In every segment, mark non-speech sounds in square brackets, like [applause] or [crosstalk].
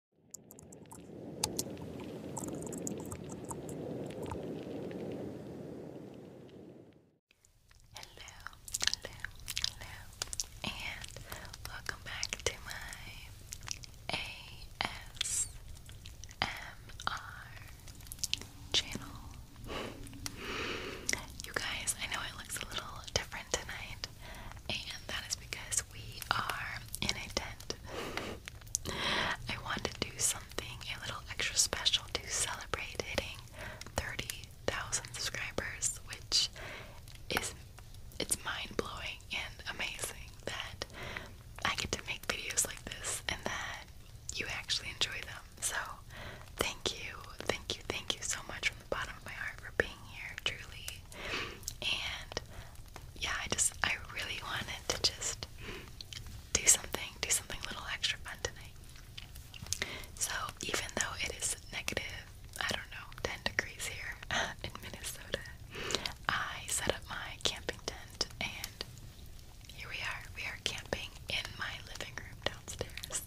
Hello, hello, hello, and welcome back to my ASMR channel. You guys, I know it looks a little different tonight, and that is because we are in a tent. [laughs] I wanted to do something a little extra special to celebrate hitting 30,000 subscribers, which is it's mind-blowing and amazing that I get to make videos like this and that you actually enjoy them. So, thank you, thank you, thank you so much from the bottom of my heart for being here, truly. And yeah, I just, I really wanted to just do something, do something a little extra fun tonight. So even though it is negative, I don't know, 10 degrees here [laughs] in Minnesota, I set up my camping tent and here we are. We are camping in my living room downstairs.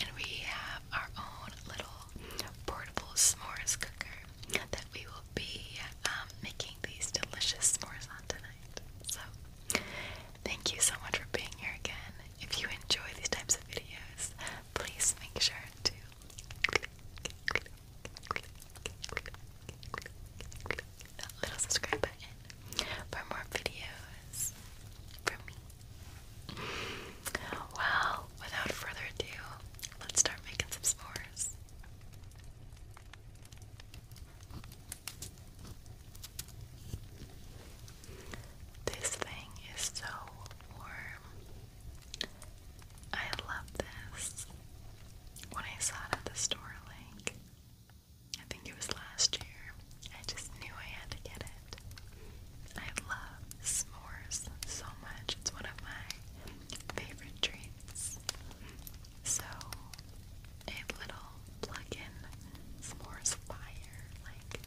And we have our own little portable s'mores cooker that we will be making these delicious s'mores on tonight. So, thank you so much for being here again. If you enjoy these types of videos, please make sure to click, click, click, click, click, click that little subscribe button for more videos from me. Well, without further ado, let's start making some s'mores. This thing is so warm. I love this. When I saw it at the store, like, I think it was last year, I just knew I had to get it. I love s'mores so much. It's one of my favorite treats. So, a little plug-in s'mores fire, like,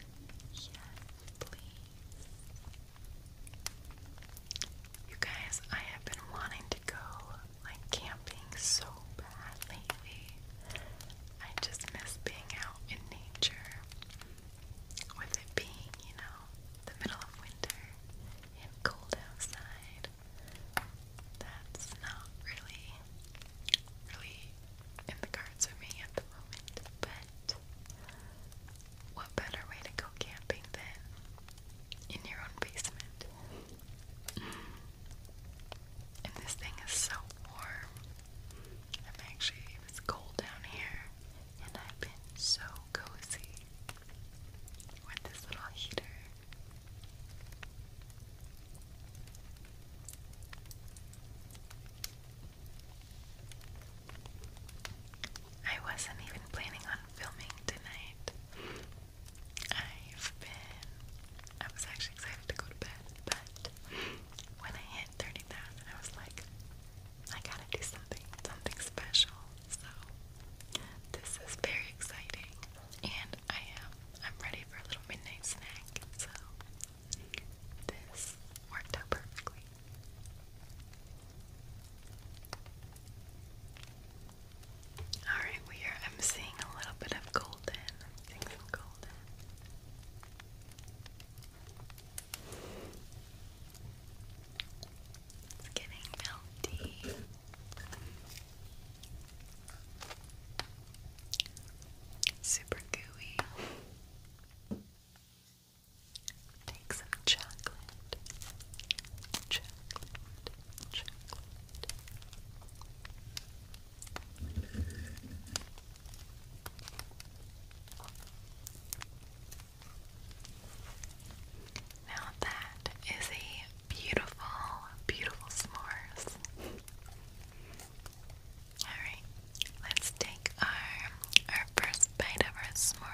yes, please. You guys, I have been wanting to go, like, camping so bad lately. I just miss being out in nature with it being, you know, the middle of winter and cold outside, that's not really, really in the cards for me at the moment. But what better way to go camping than in your own basement? And this thing is so warm. I'm actually, it cold down here, and I've been so cozy with this little heater. I wasn't even planning on filming tonight. I've been. I was actually excited to go to bed, but when I hit 30,000, I was like, I gotta do something, something special. So this is very exciting, and I am I'm ready for a little midnight snack. So this worked out perfectly. All right, we are. I'm seeing a little bit of golden. i seeing some golden. It's getting melty. Super gooey. Take some chocolate. Chocolate. Chocolate. Now that is a beautiful, beautiful s'mores. Alright, let's take our our first bite of our s'mores.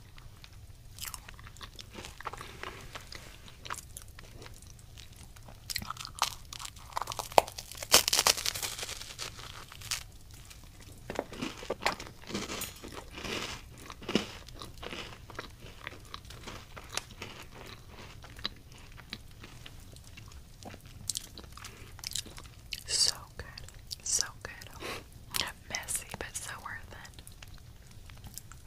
So good, so good. [laughs] Messy, but so worth it.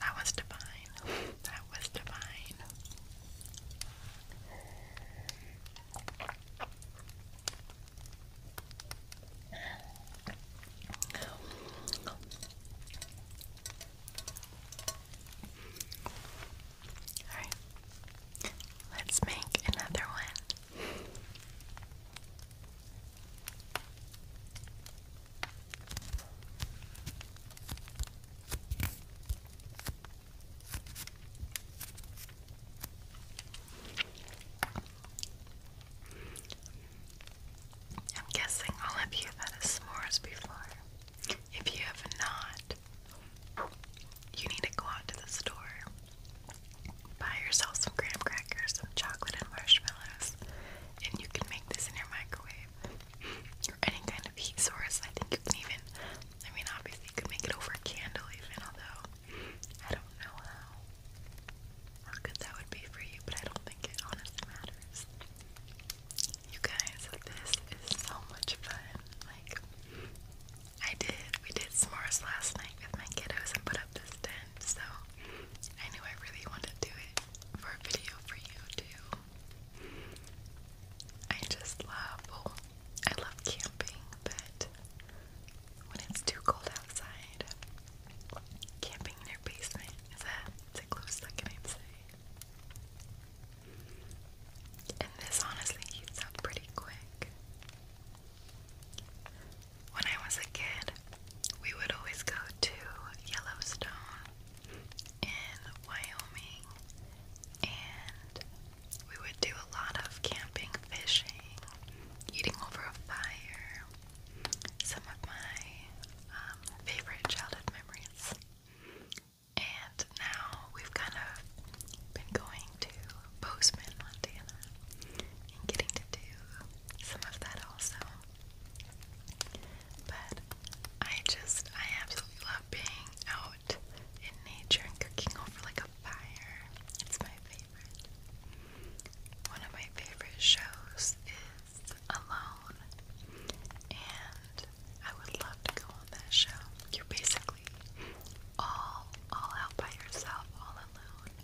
That was divine. That was divine. Alright. Let's make another one. I'm guessing all of you have had s'mores before. If you have not, you need to go out to the store, buy yourself some graham crackers, some chocolate, and marshmallows, and you can make this in your microwave or any kind of heat source. I think you can even, I mean, obviously, you could make it over a candle, even although I don't know how good that would be for you, but I don't think it honestly matters. You guys, this is so much fun. Like, I did. We did s'mores last night with my kiddos and put up this tent, so I knew I really wanted to do it for a video for you too. I just love, I love camping, but when it's too cold outside, camping in your basement is a, it's a close second, I'd say. And this honestly heats up pretty quick. When I was a kid, we would always go to Yellowstone in Wyoming, and we would do a lot of camping, fishing, eating over a fire. Some of my um, favorite childhood memories. And now we've kind of been going to Bozeman, Montana, and getting to do some of that also. But I just, I absolutely love being out in nature and cooking over like a fire. It's my favorite. One of my favorite shows is Alone, and I would love to go on that show. You're basically basically all all out by yourself, all alone,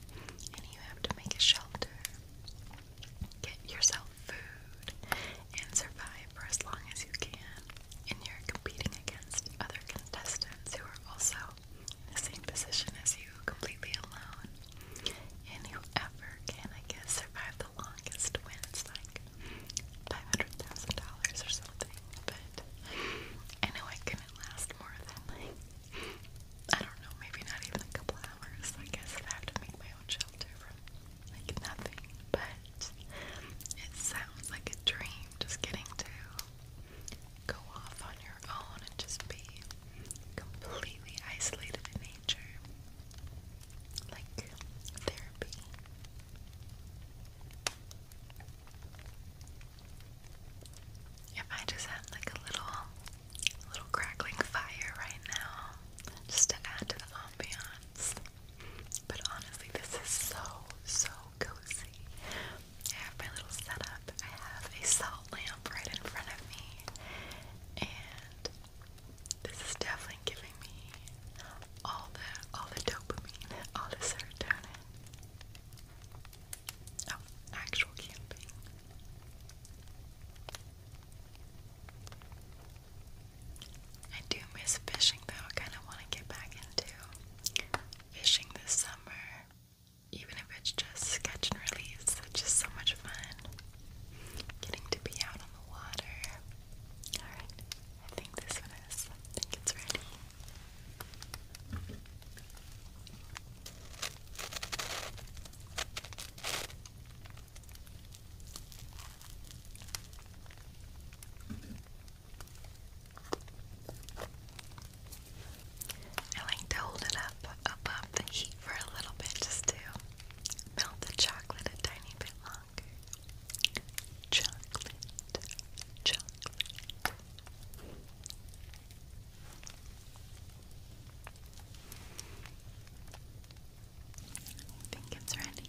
and you have to make a shelter, get yourself food, and survive for as long as you can. And you're competing against other contestants who are also in the same position as you, completely alone. And whoever can, I guess, survive the longest wins. Like five hundred thousand dollars or something, but I know I last more than I don't know, maybe not even a couple hours. I guess I'd have to make my own shelter from like nothing. But it sounds like a dream just getting to go off on your own and just be completely isolated in nature. Like therapy. If I just had like a little, little crackling fire right now, just to add to the ambiance. But honestly, this is so, so cozy. I have my little setup. I have a salt lamp right in front of me, and this is definitely giving all the all the dopamine, all the serotonin. Oh, actual camping. I do miss fishing though. I kind of want to get back into fishing this summer, even if it's just catch and release. It's just so much fun getting to be out on the water. Alright, I think this one is. I think it's ready. I like to hold it up above the heat for a little bit just to melt the chocolate a tiny bit longer chocolate, chocolate. I think it's ready.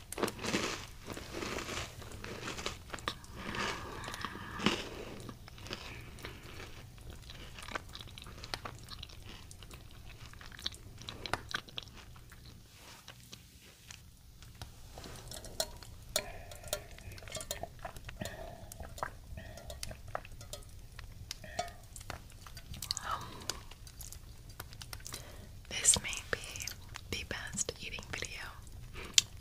Um, this may be the best eating video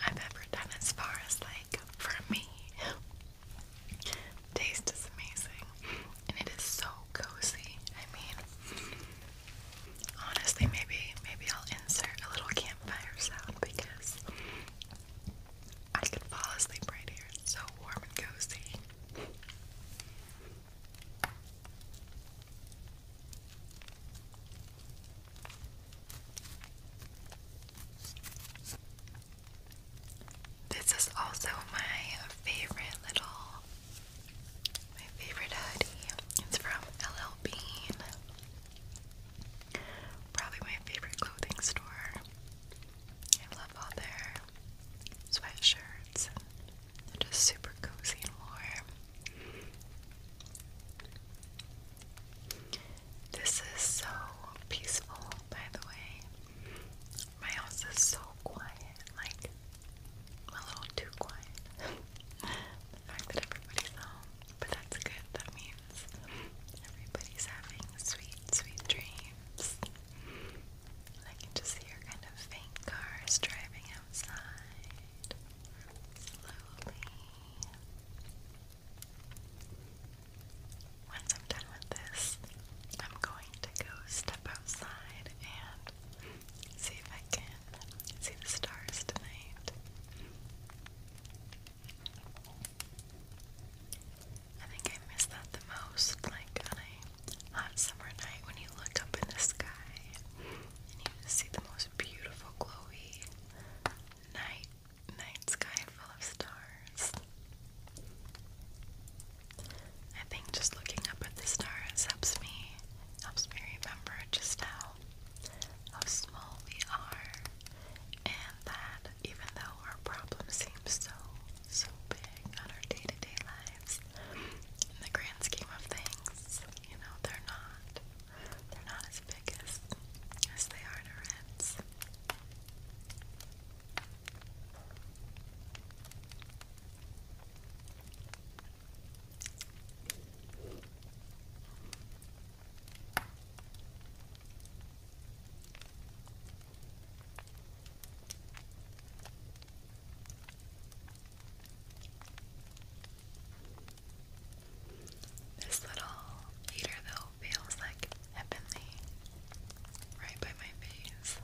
I've ever done as far as like for me. Taste is amazing and it is so cozy. I mean honestly maybe maybe I'll insert a little campfire sound because I could fall asleep right here. It's so warm and cozy. This is also my favorite little, my favorite hoodie. It's from LL Bean. Probably my favorite clothing store. I love all their sweatshirts. They're just super cozy and warm. This is so peaceful, by the way. My house is so quiet, like a little too quiet. [laughs] the fact that everybody's home, but that's good. That means everybody's having sweet, sweet dreams. I just hear kind of faint cars driving outside slowly. Once I'm done with this, I'm going to go step outside and see if I can see the stars tonight. I think I miss that the most, like on a hot summer night when you look up in the sky and you just see the most beautiful glowy snowy night, night sky full of stars. I think just looking up at the stars helps me helps me remember just how how small we are and that even though our problems seem so so big on our day-to-day -day lives in the grand scheme of things, you know, they're not. They're not as big as, as they are in to reds. This little heater though feels like heavenly right by my face.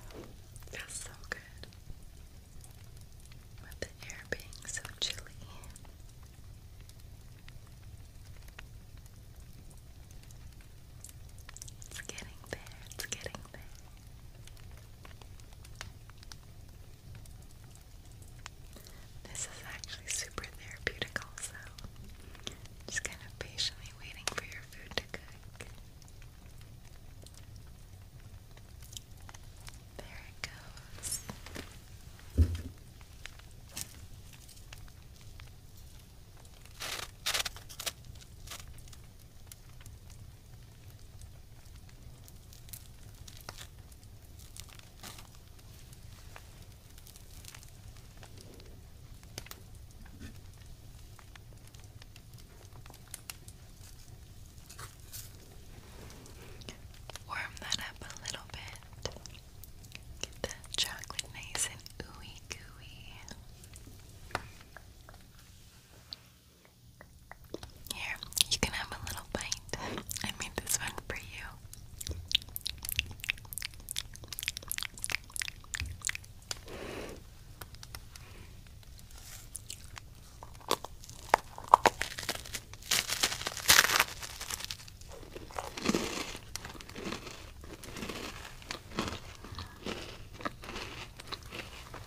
Feels so good. With the air being so chilly. It's getting there, it's getting there. This is actually super therapeutic also. Just kind of patiently waiting for your food to cook. There it goes. There Warm that up a little bit. Get that chocolate nice and ooey gooey. Here, you can have a little bite. I made this one for you.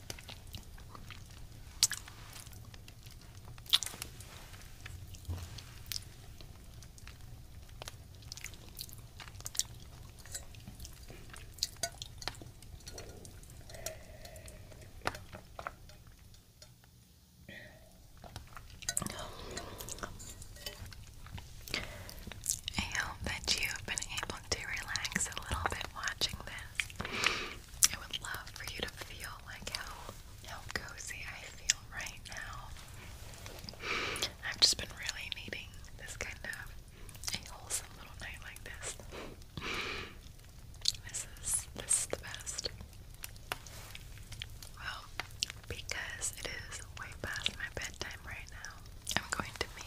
I hope that you've been able to relax a little bit watching this. I would love for you to feel like how how cozy I feel right now. I've just been really needing this kind of a wholesome little night like this. This is this is the best. Well, because it is way past my bedtime right now, I'm going to be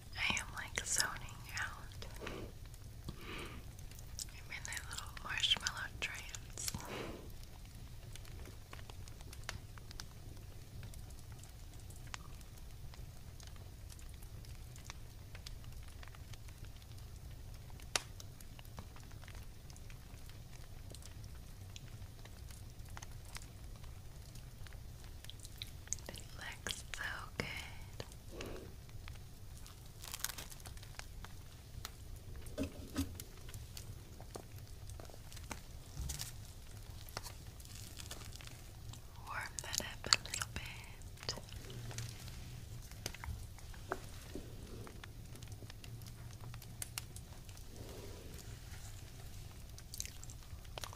I am like zoning out. I'm in a little marshmallow trance. It looks so good. Warm that up a little bit.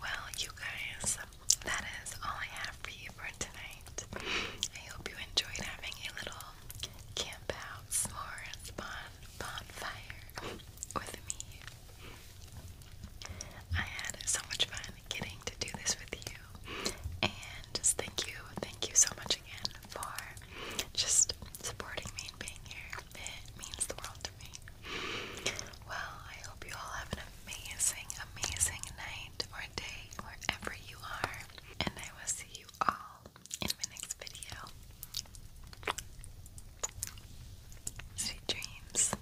Well, you guys, that is all I have for you for tonight. I hope you enjoyed having a little campout, out, s'mores, bon, bonfire with me. I had so much fun getting to do this with you. And just thank you, thank you so much again for just supporting me and being here. It means the world to me. Well, I hope you all have an amazing, amazing night or day wherever you are and I will see you all in my next video. Sweet dreams.